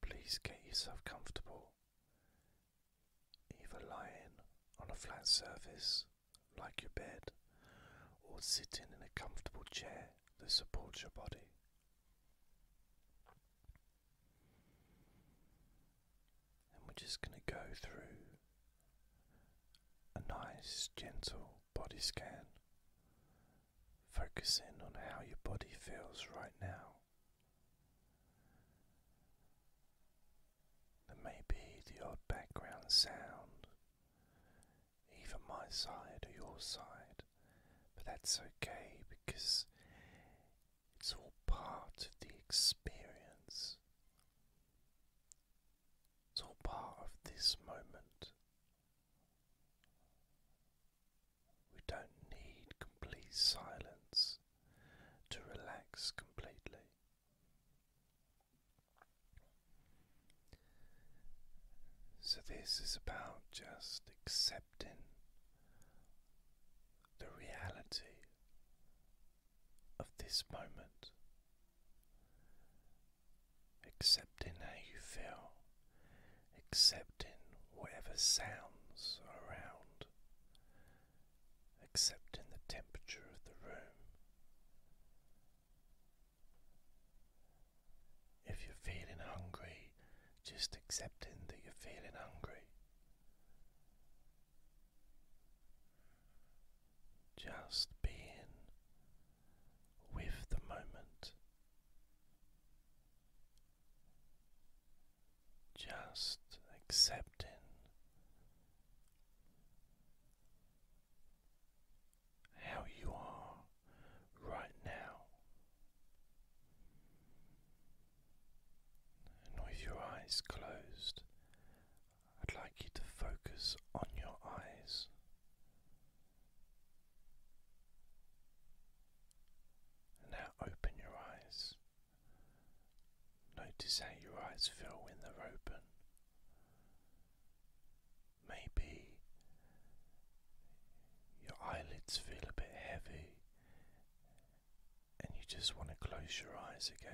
Please get yourself comfortable, either lying on a flat surface like your bed or sitting in a comfortable chair that supports your body. And we're just going to go through a nice, gentle body scan Focus in on how your body feels right now. There may be the odd background sound, either my side or your side, but that's okay because it's all part of the experience. It's all part of this moment we don't need complete silence to relax completely. So, this is about just accepting the reality of this moment accepting how you feel, accepting whatever sounds around, accepting the temperature of the room. If you're feeling hungry, just accepting that you're feeling hungry. Just being with the moment. Just accepting how you are right now, and with your eyes closed, I'd like you to focus on your eyes. Now open your eyes. Notice how your eyes feel when they're open. Maybe your eyelids feel a bit heavy and you just want to close your eyes again.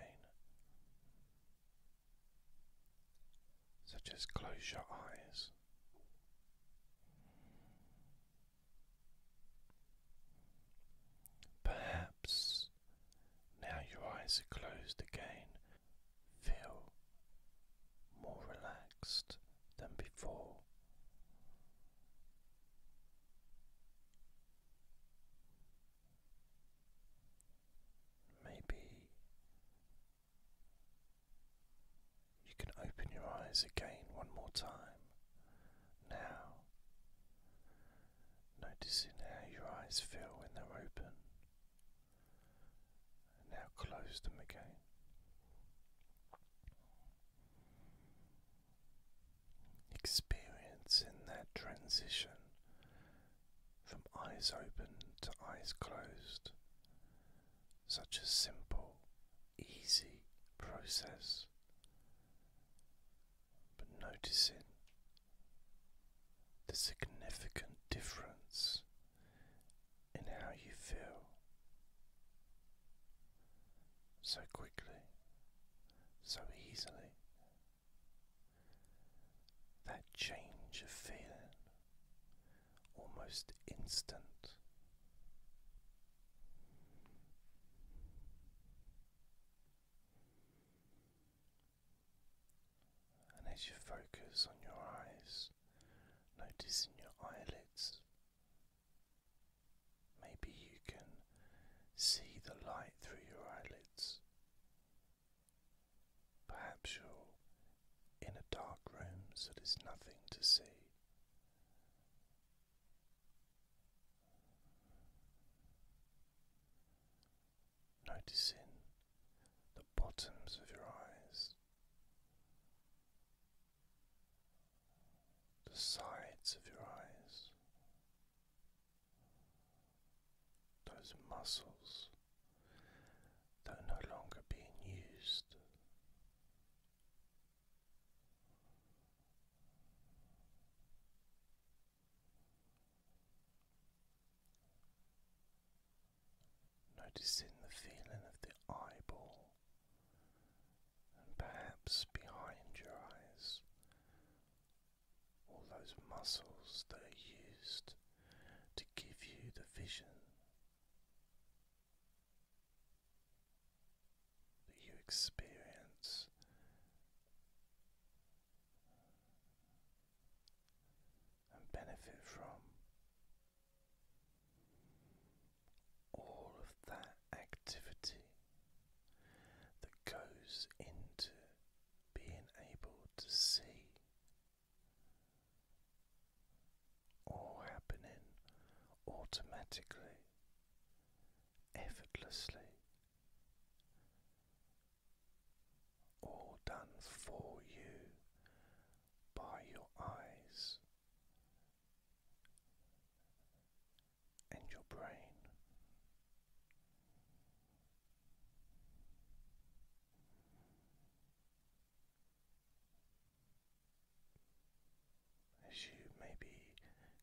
So just close your eyes. Perhaps now your eyes are closed again, feel more relaxed than before. Maybe you can open your eyes again one more time now, noticing how your eyes feel when they're open, and now close them again. Experience in that transition from eyes open to eyes closed such a simple, easy process, but noticing the significant difference in how you feel so quickly, so easily. That change of feeling almost instant. And as you focus on your eyes, notice your eyelids, maybe you can see the light through your eyelids. Perhaps you in a dark room so there's nothing to see. Noticing the bottoms of your eyes, the sides of your eyes, those muscles that are no longer being used. Noticing the feeling of the eyeball and perhaps behind your eyes, all those muscles that are used to give you the vision that you experience. And benefit from all of that activity that goes into being able to see all happening automatically, effortlessly, all done for you by your eyes and your brain. As you maybe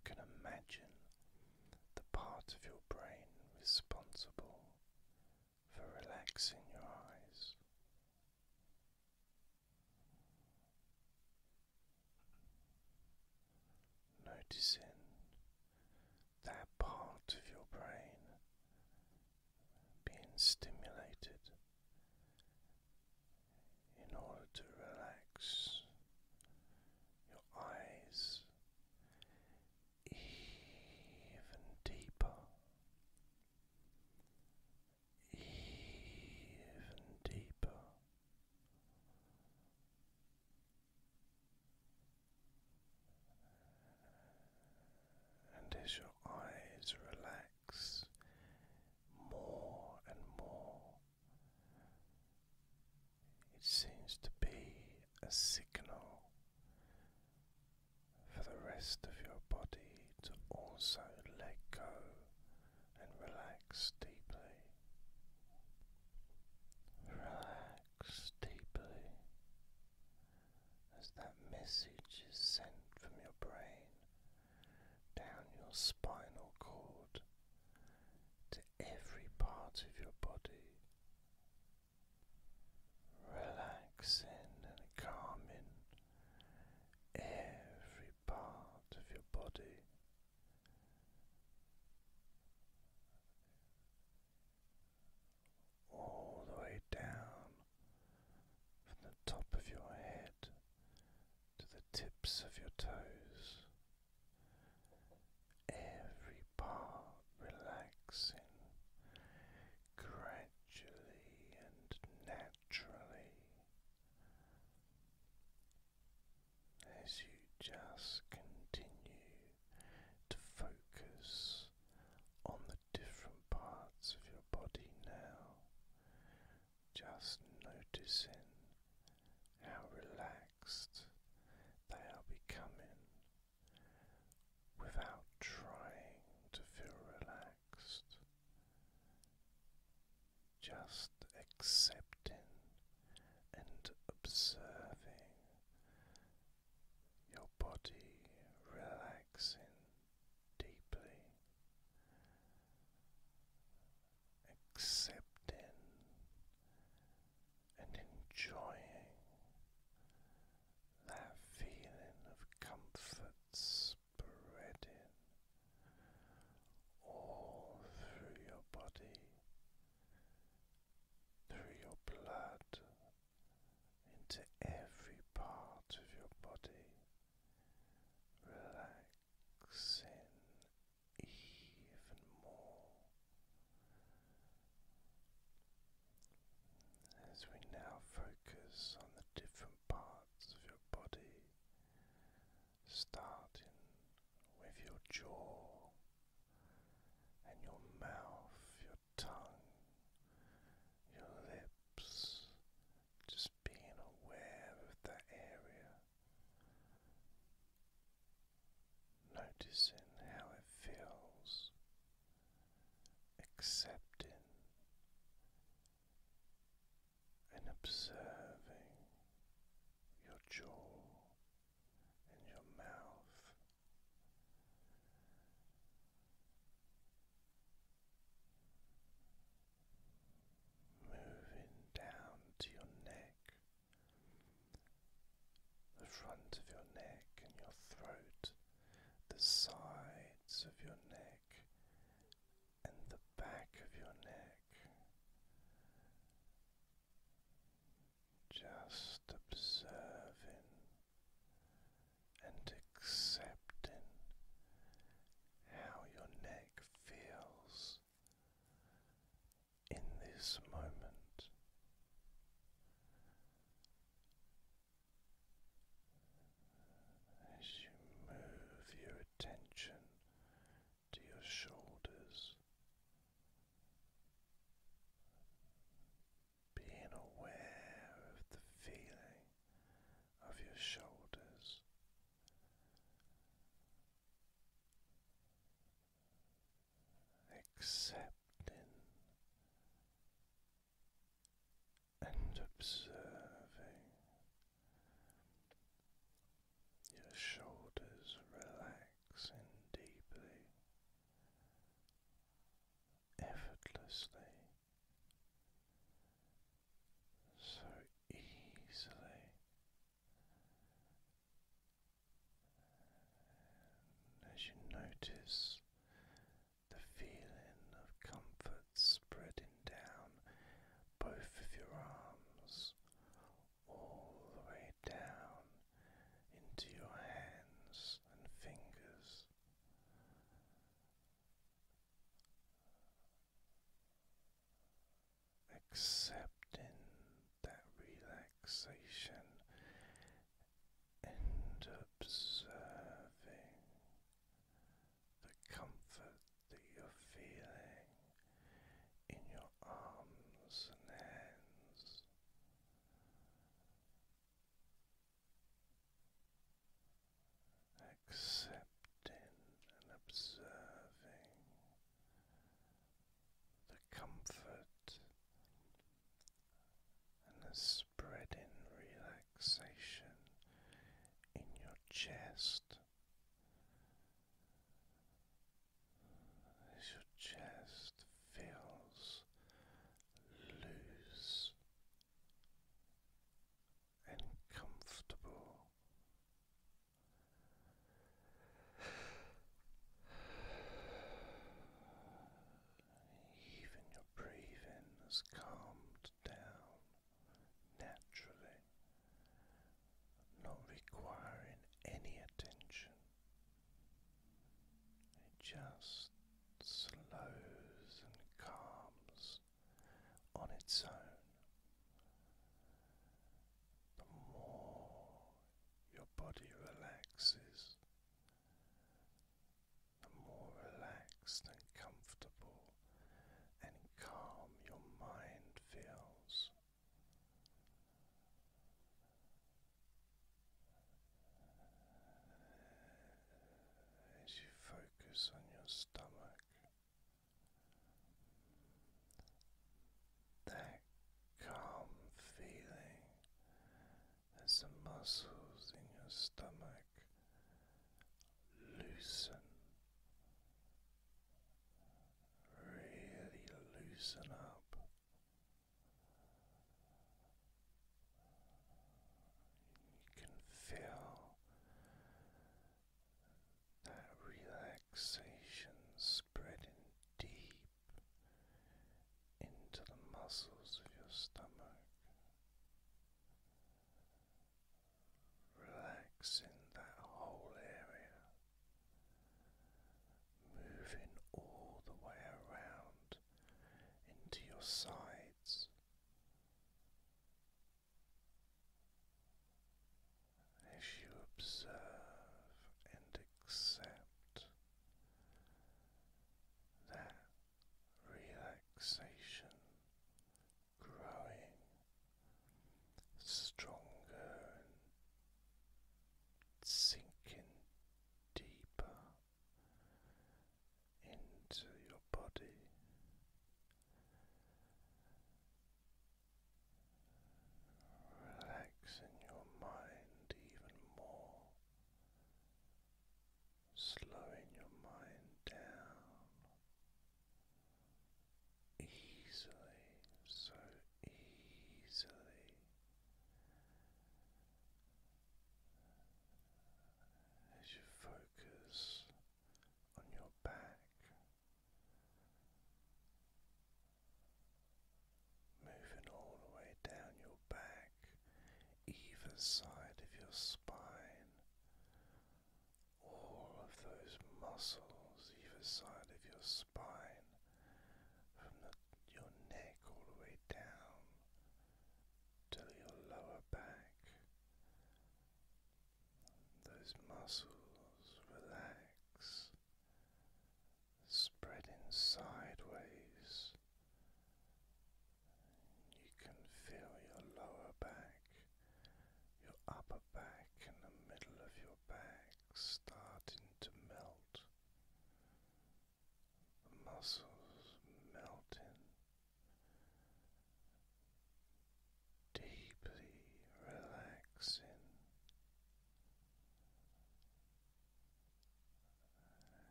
can imagine the part of your brain responsible for relaxing your eyes. Noticing that part of your brain being stimulated in order to relax your eyes even deeper, even deeper. And as your eyes relax, more and more. It seems to be a signal for the rest of your body to also let go and relax deeply. Relax deeply as that message is sent from your brain down your spinal cord to every part of your body, relaxing and calming every part of your body. All the way down from the top of your head to the tips of your toes. Every part relaxing gradually and naturally as you just continue to focus on the different parts of your body now, just noticing how relaxed they are becoming without trying to feel relaxed, just accepting and observing your body relaxing deeply, accepting and enjoying that feeling of comfort spreading all through your body, through your blood, into every part of your body relaxing even more as we now focus on the different parts of your body, starting with your jaw and your mouth, your tongue, your lips just being aware of that area, noticing how it feels, accepting and observing your jaw and your mouth moving down to your neck, the front of your neck and your throat, the sides of your neck and the back of your neck. Just observing and accepting how your neck feels in this moment. As you move your attention to your shoulders, being aware of the feeling of your shoulders. Accepting and observing your shoulders relaxing deeply, effortlessly, so easily as you notice the feeling of comfort spreading down both of your arms all the way down into your hands and fingers accepting that relaxation and observing the comfort that you're feeling in your arms and hands accepting and observing the comfort and the spreading relaxation in your chest as your chest feels loose and comfortable. Even your breathing has calmed down naturally, not requiring any attention. It just slows and calms on its own. The more your body relaxes, the more relaxed and comfortable and calm your mind feels. As you focus on your stomach, that calm feeling as the muscles in your stomach loosen, really loosen up. You can feel that relaxation spreading deep into the muscles of your stomach, relaxing that whole area, moving all the way around into your sides as you observe and accept that relaxation growing stronger and sinking deeper into your body. Relaxing your mind even more, slowing your mind down easily, so easily. As you focus on your back, moving all the way down your back, either side of your spine, all of those muscles, either side of your spine, from your neck all the way down. Till your lower back, those muscles relax, spreading sideways. You can feel your lower back, your upper back, and the middle of your back starting to melt. muscles melting deeply relaxing.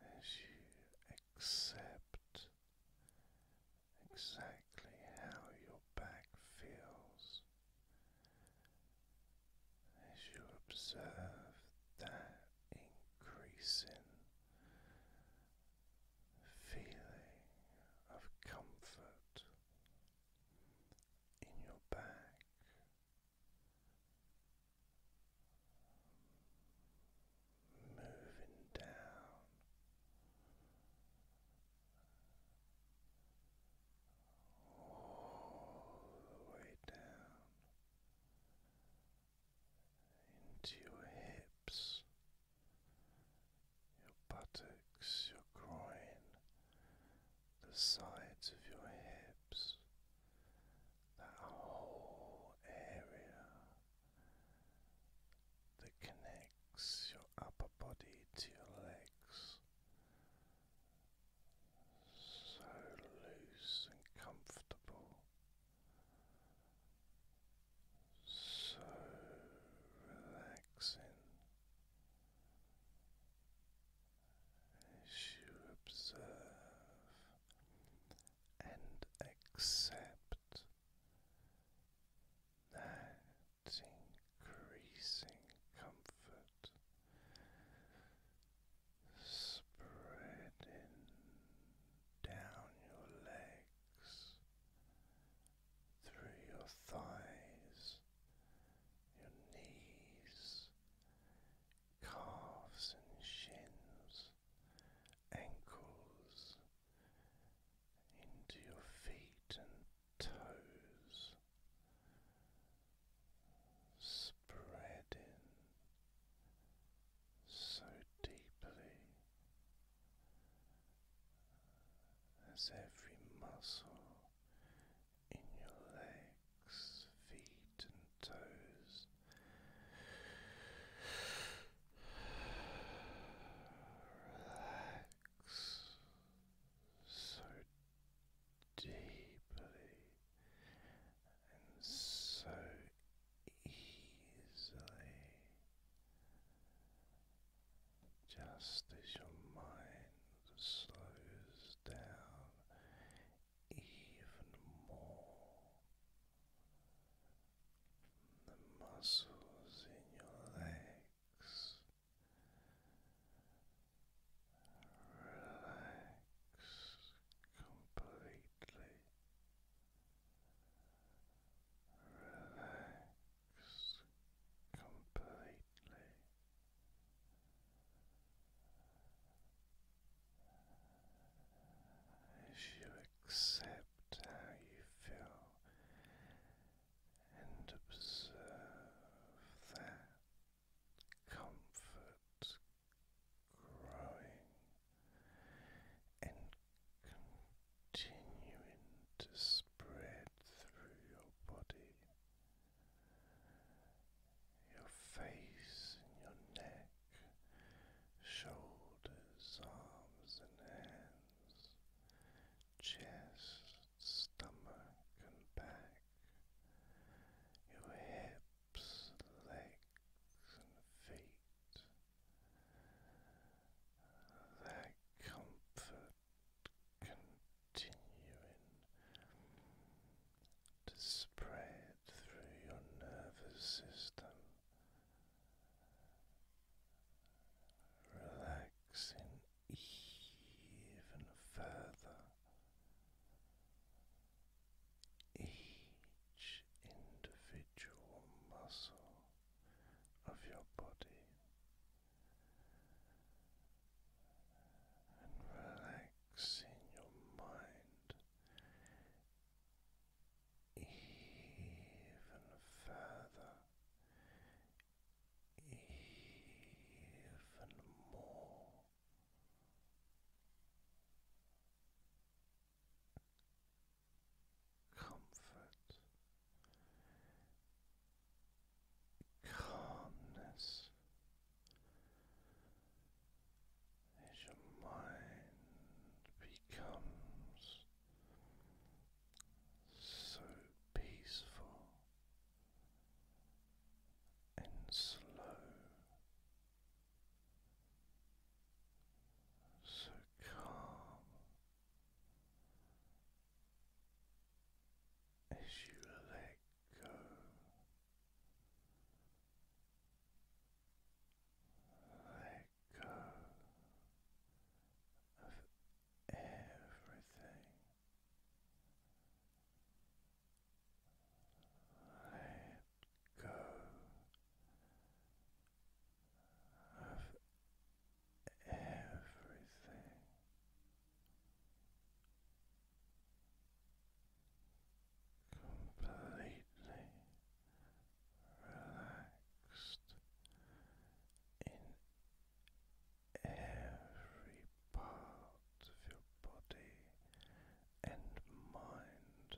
As you accept exactly how your back feels, as you observe that increasing feeling of comfort in your back. Moving down all the way down into your hips, your buttocks, your groin, the sides of your hips, that whole area that connects your upper body to your legs. So loose and comfortable, so relaxing as you observe and accept that increasing comfort spreading down your legs through your thighs, your knees, calves and shins, ankles, into your feet and toes, spreading so deeply as every muscle in your legs, feet, and toes relax so deeply and so easily just as your mind slows down even more, the muscles in your legs relax completely completely. As you accept how you feel and observe that comfort growing and continuing to spread through your body, your face and your neck, shoulders, arms and hands, chest, stomach and back, your hips, legs and feet that comfort continuing to spread through your nervous system, relaxing even further. Each individual muscle of your body and relaxing your mind even further, even more comfort, calmness as your mind becomes so peaceful and slow, so calm as you let go. Let go of everything. Let go of everything. Completely relaxed in every part of your body and mind